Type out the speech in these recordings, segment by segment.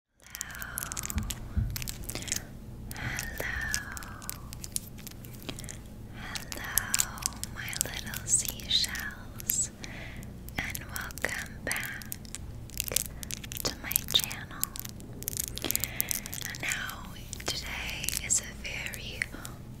hello, hello, my little seashells, and welcome back to my channel. Now, today is a very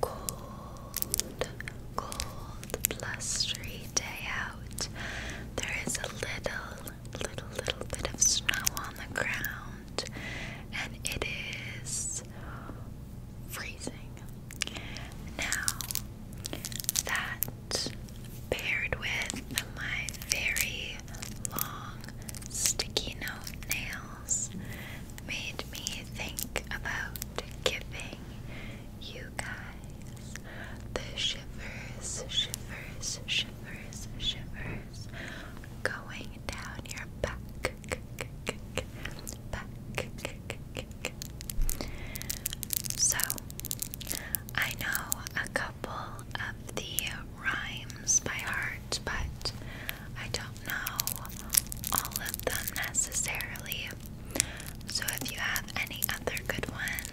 cold, cold, blustery day out. There is a little, little, little bit of snow on the ground, and it is freezing. Now, that paired with my very long, sticky note nails made me think about giving you you guys the shivers, shivers, shivers, shivers going down your back, back. So, I know a couple of the rhymes by heart, but I don't know all of them necessarily. So, if you have any other good ones,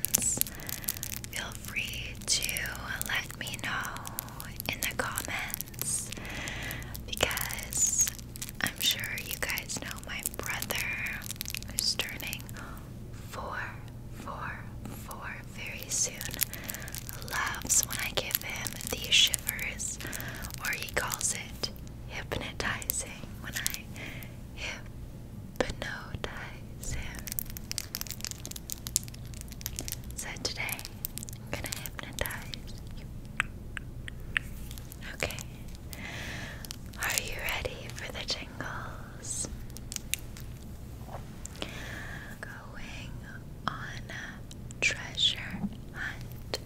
feel free to let me know in the comments because I'm sure you guys know my brother who's turning four, four, four very soon. Loves when I give him these shivers, or he calls it hypnotizing when I hypnotizer. So today I'm gonna hypnotize you. Okay. Are you ready for the tingles? Going on a treasure hunt.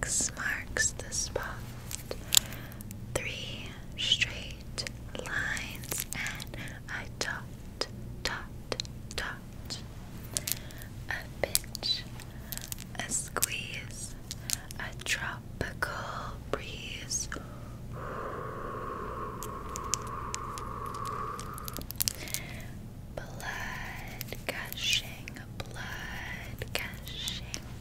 X marks the spot. Three straight lines and I dot, dot, dot. A pinch, a squeeze, a tropical breeze. Blood gushing, blood gushing,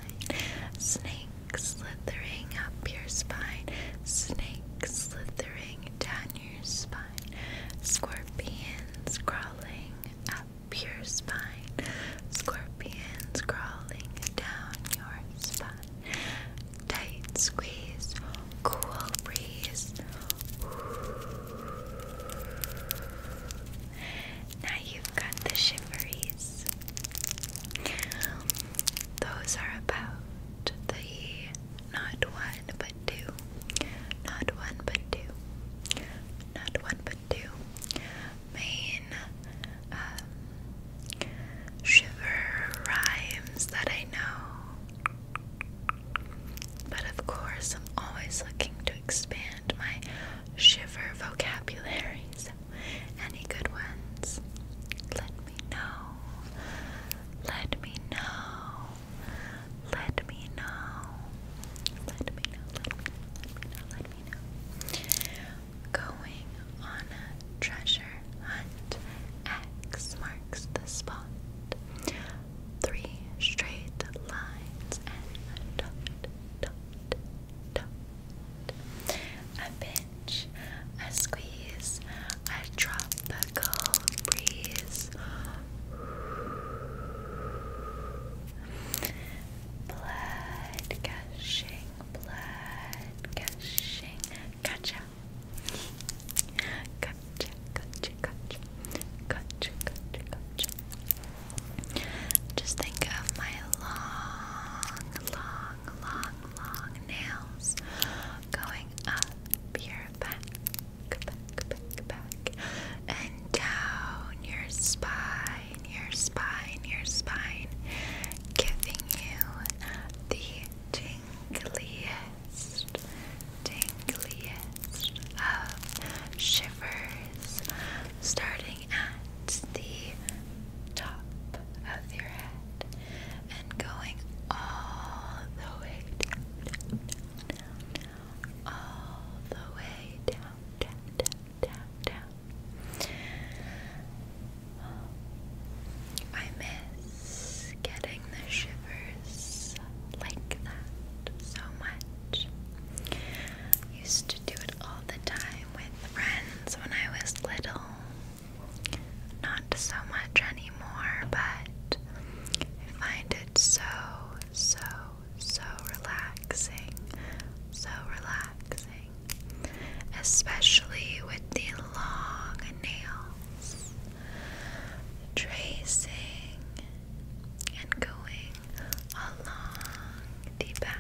spine. Snake slithering up your spine. Snake slithering down your spine. Scorpions crawling up your spine. Scorpions crawling down your spine. Tight squeeze. Cool breeze. Now you've got the shimmeries. those are about the not one but two. Not one but two. Not one but two. Main um, shiver rhymes that I know. But of course, I'm always looking to expand my shiver vocabularies. any good ones? Let me know. Let me know. Let me know. Let me know. Let me know. Let me know. Let me know. Going on a treasure hunt. X marks the spot. Three straight lines and dot, dot, a pinch, a squeeze, a tropical breeze. Blood gushing, blood gushing. Gotcha. Gotcha, gotcha, gotcha. Gotcha, gotcha, gotcha. Just think of my long, long, long, long nails going up your back, back, back, back, and down your spine, your spine, your spine, giving you the tingliest, tingliest of shivers starting at the top of your head and going all the way down, down, down, all the way down, down, down, down, down. I miss getting the shivers like that so much. Used to do it all the time with friends when I was little. Not so much anymore, but I find it so, so, so relaxing. So relaxing. Especially with the long nails. Tracing and going along the back,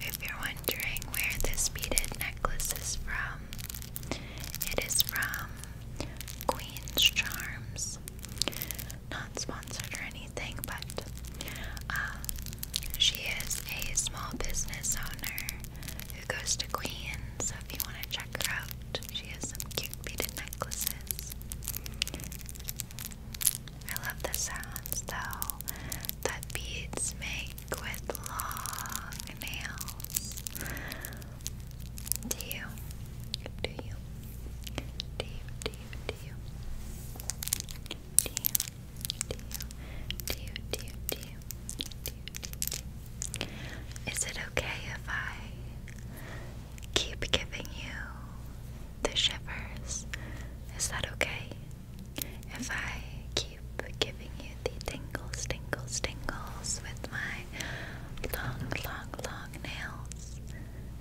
If you're wondering where this beaded necklace is from, it is from Queen's Charms not sponsored or anything, but um, she is a small business owner who goes to Queens. So if you want to check her out, she has some cute beaded necklaces. I love the sounds though that beads make with long nails. Do you? Do you? Do you? Do you? do you, do you, do you, do you, do you, do you, do you? Is it okay if I keep giving you the shivers? Is that okay? If I keep giving you the tingles, tingles, tingles with my long, long, long nails,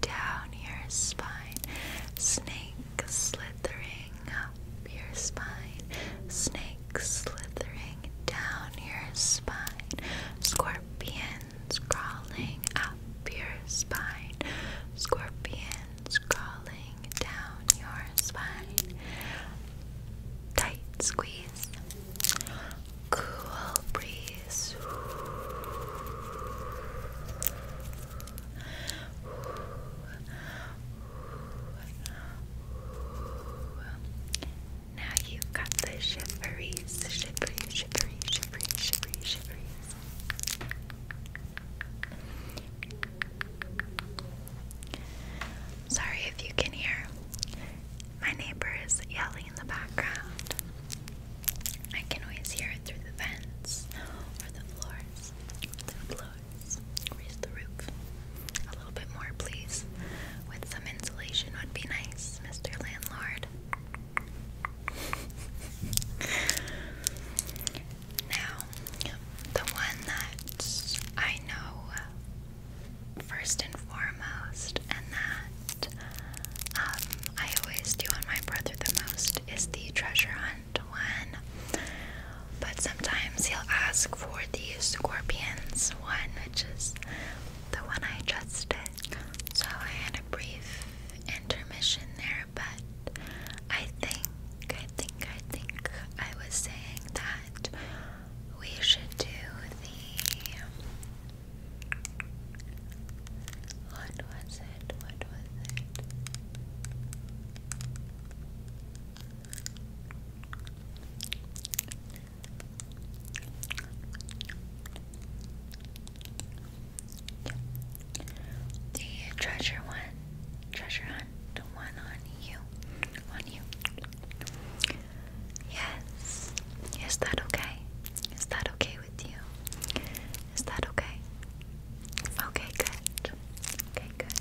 down your spine. Snake slithering up your spine. Snake slithering down your spine. Scorpions crawling up your spine. Scorpions crawling down your spine. Tight squeeze cool breeze. Now you've got the shiveries, shiveries, shiveries, shiveries, shiveries, Sorry if you can hear. My neighbor is yelling in the background. I can always hear it through the vents or the floors. The floors. Raise the roof a little bit more, please. With some insulation would be nice, Mr. Landlord. now, the one that I know uh, first and foremost, and that um, I always do on my brother the most is the treasure hunt one. But sometimes he'll ask for the scorpions one, which is the one I just did. So I had a brief intermission there, but I think, I think, I think I was saying that we should do the what was it? What was it? The treasure one, treasure hunt, the one on you, on you. Yes. Is that okay? Is that okay with you? Is that okay? Okay, good. Okay, good.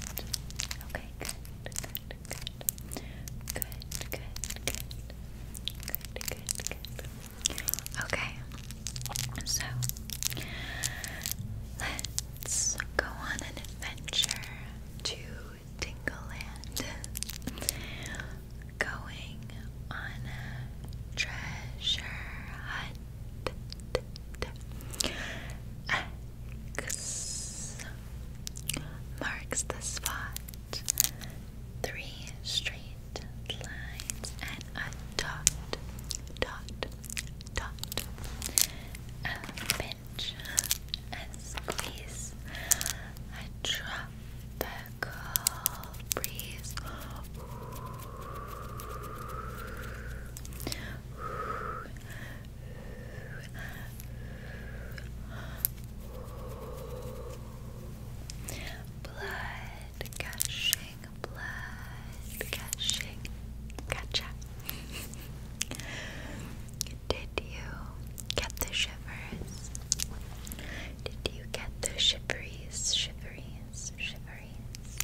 Okay, good. Good, good. Good, good, good. Good, good, good. Okay. So let's go on an adventure to Tingleland going on a treasure hunt. X marks the spot. Three straight lines and a dot, dot, dot. A pinch, a squeeze, a drop, a cool Blood gushing, blood gushing. Gotcha. Did you get the shivers? Did you get the shiveries, shiveries, shiveries?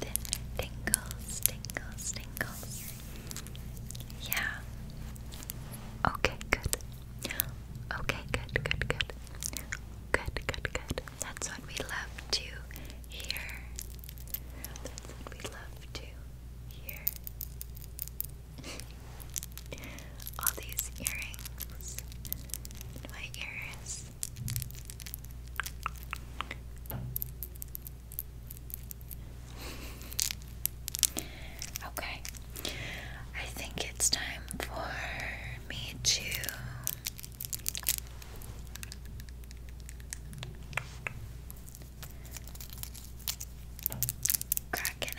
The tingles, tingles, tingles. Yeah. Okay, good. Okay, good, good, good. Good, good, good. That's what we love to hear. That's what we love to hear all these earrings in my ears. Okay, I think it's time for me to crack an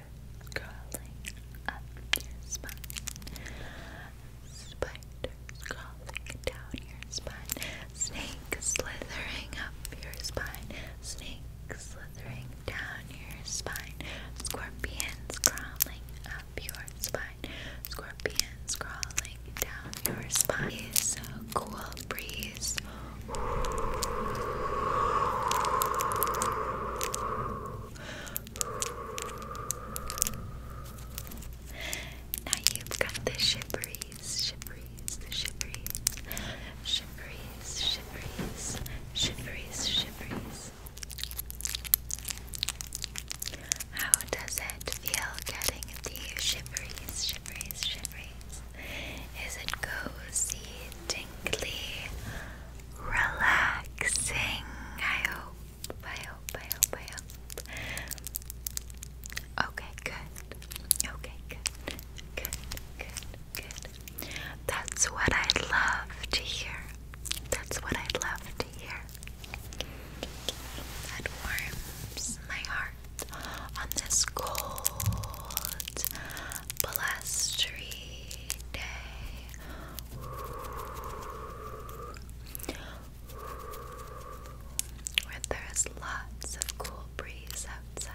crawling up your spine. Spiders crawling down your spine. Snake slithering up your spine. Snake slithering down your spine. Scorpions crawling up your spine. Scorpions crawling down your spine. Breeze, so cool breeze. Now you've got the shiveries, shiveries, shiveries, shiveries, shiveries, shiveries, shiveries. How does it feel getting the shiveries, shiveries, shiveries? Is it cozy, tingly, relaxing? I hope, I hope, I hope, I hope. Okay, good. Okay, good. Good, good, good. That's what I'd love to hear. That's what I'd love to hear. That warms my heart on this cold, blustery day. Where there's lots of cool breeze outside.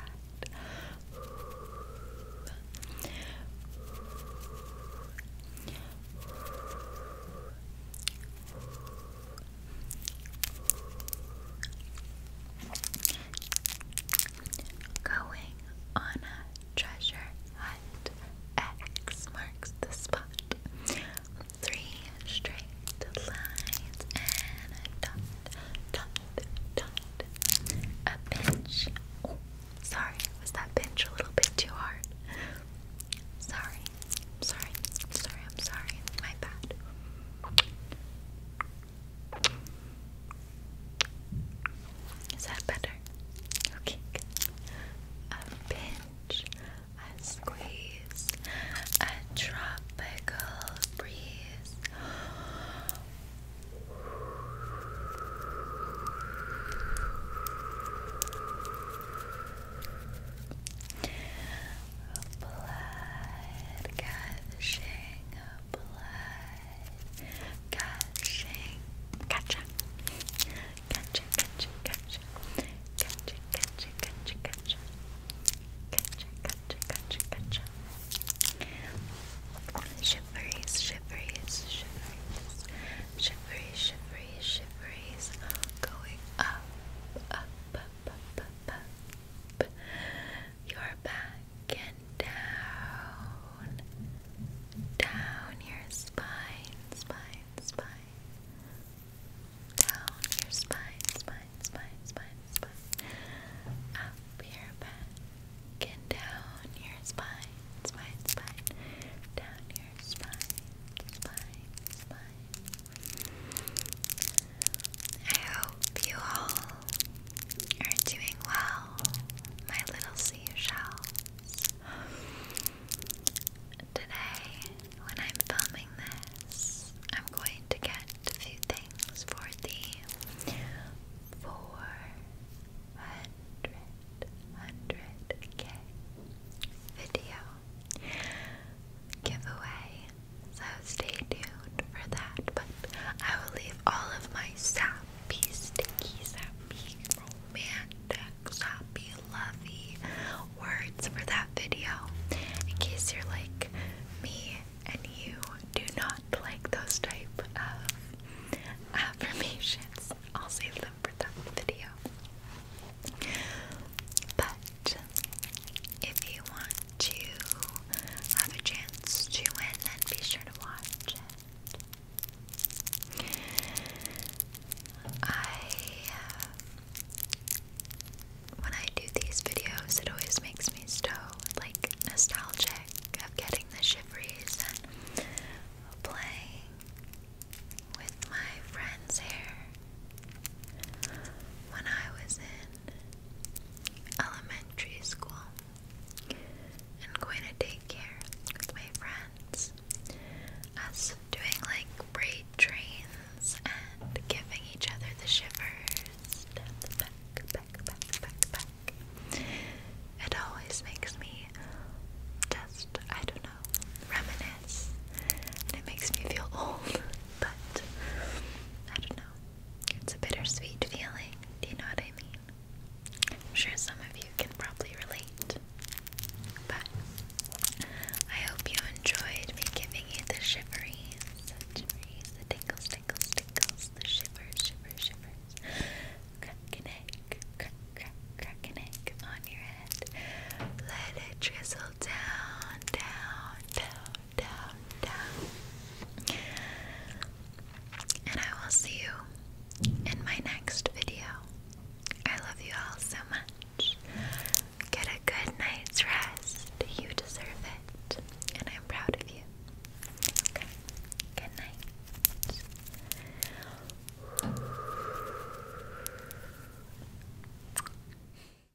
Going on a treasure hunt. X marks the spot. Three straight lines and a dot, dot, dot. A pinch. Oh, sorry, was that pinch a little bit too hard? Sorry, sorry, sorry, I'm sorry, my bad. Is that better? Okay, A pinch, a squeeze, a tropical breeze. Blood gushing blood gushing. Gotcha. Gotcha, gotcha, gotcha. Gotcha, gotcha, gotcha, gotcha. Gotcha, gotcha, gotcha, gotcha. Shiveries, shiveries, shiveries. Shiveries, shiveries, shiveries. Going up, up, up, up, up, up. You're back. Get down, down your spine, spine, spine. Down your spine, spine, spine, spine, spine. Up your back and down your spine, spine, spine. Down your spine, spine, spine. I hope you all are doing well, my little sea shells. Today, when I'm filming this, I'm going to get a few things for the 400 k video giveaway so stay tuned for that. But I will leave all of my sappy, sticky, sappy, romantic, sappy, lovey words for that video in case you're like me and you do not like those type of affirmations. I'll save them for that video. But if you want to have a chance to win, then be sure to watch I, uh, when I do these videos, it always makes me so like nostalgic of getting the shiveries and playing with my friends here when I was in elementary school and going to daycare with my friends. Us doing like braid trains and giving each other the shivers It always makes me just, I don't know, reminisce. And it makes me feel old, but I don't know. It's a bittersweet feeling. Do you know what I mean? am sure some of you can probably relate. But I hope you enjoyed me giving you the shiveries, the shiveries, the tingles, tingles, tingles, the shivers, shivers, shivers. Crack an egg, crack, crack, crack an egg on your head. Let it drizzle down, down, down, and I will see you in my next video. I love you all so much. Get a good night's rest. You deserve it. And I'm proud of you. Okay. Good night.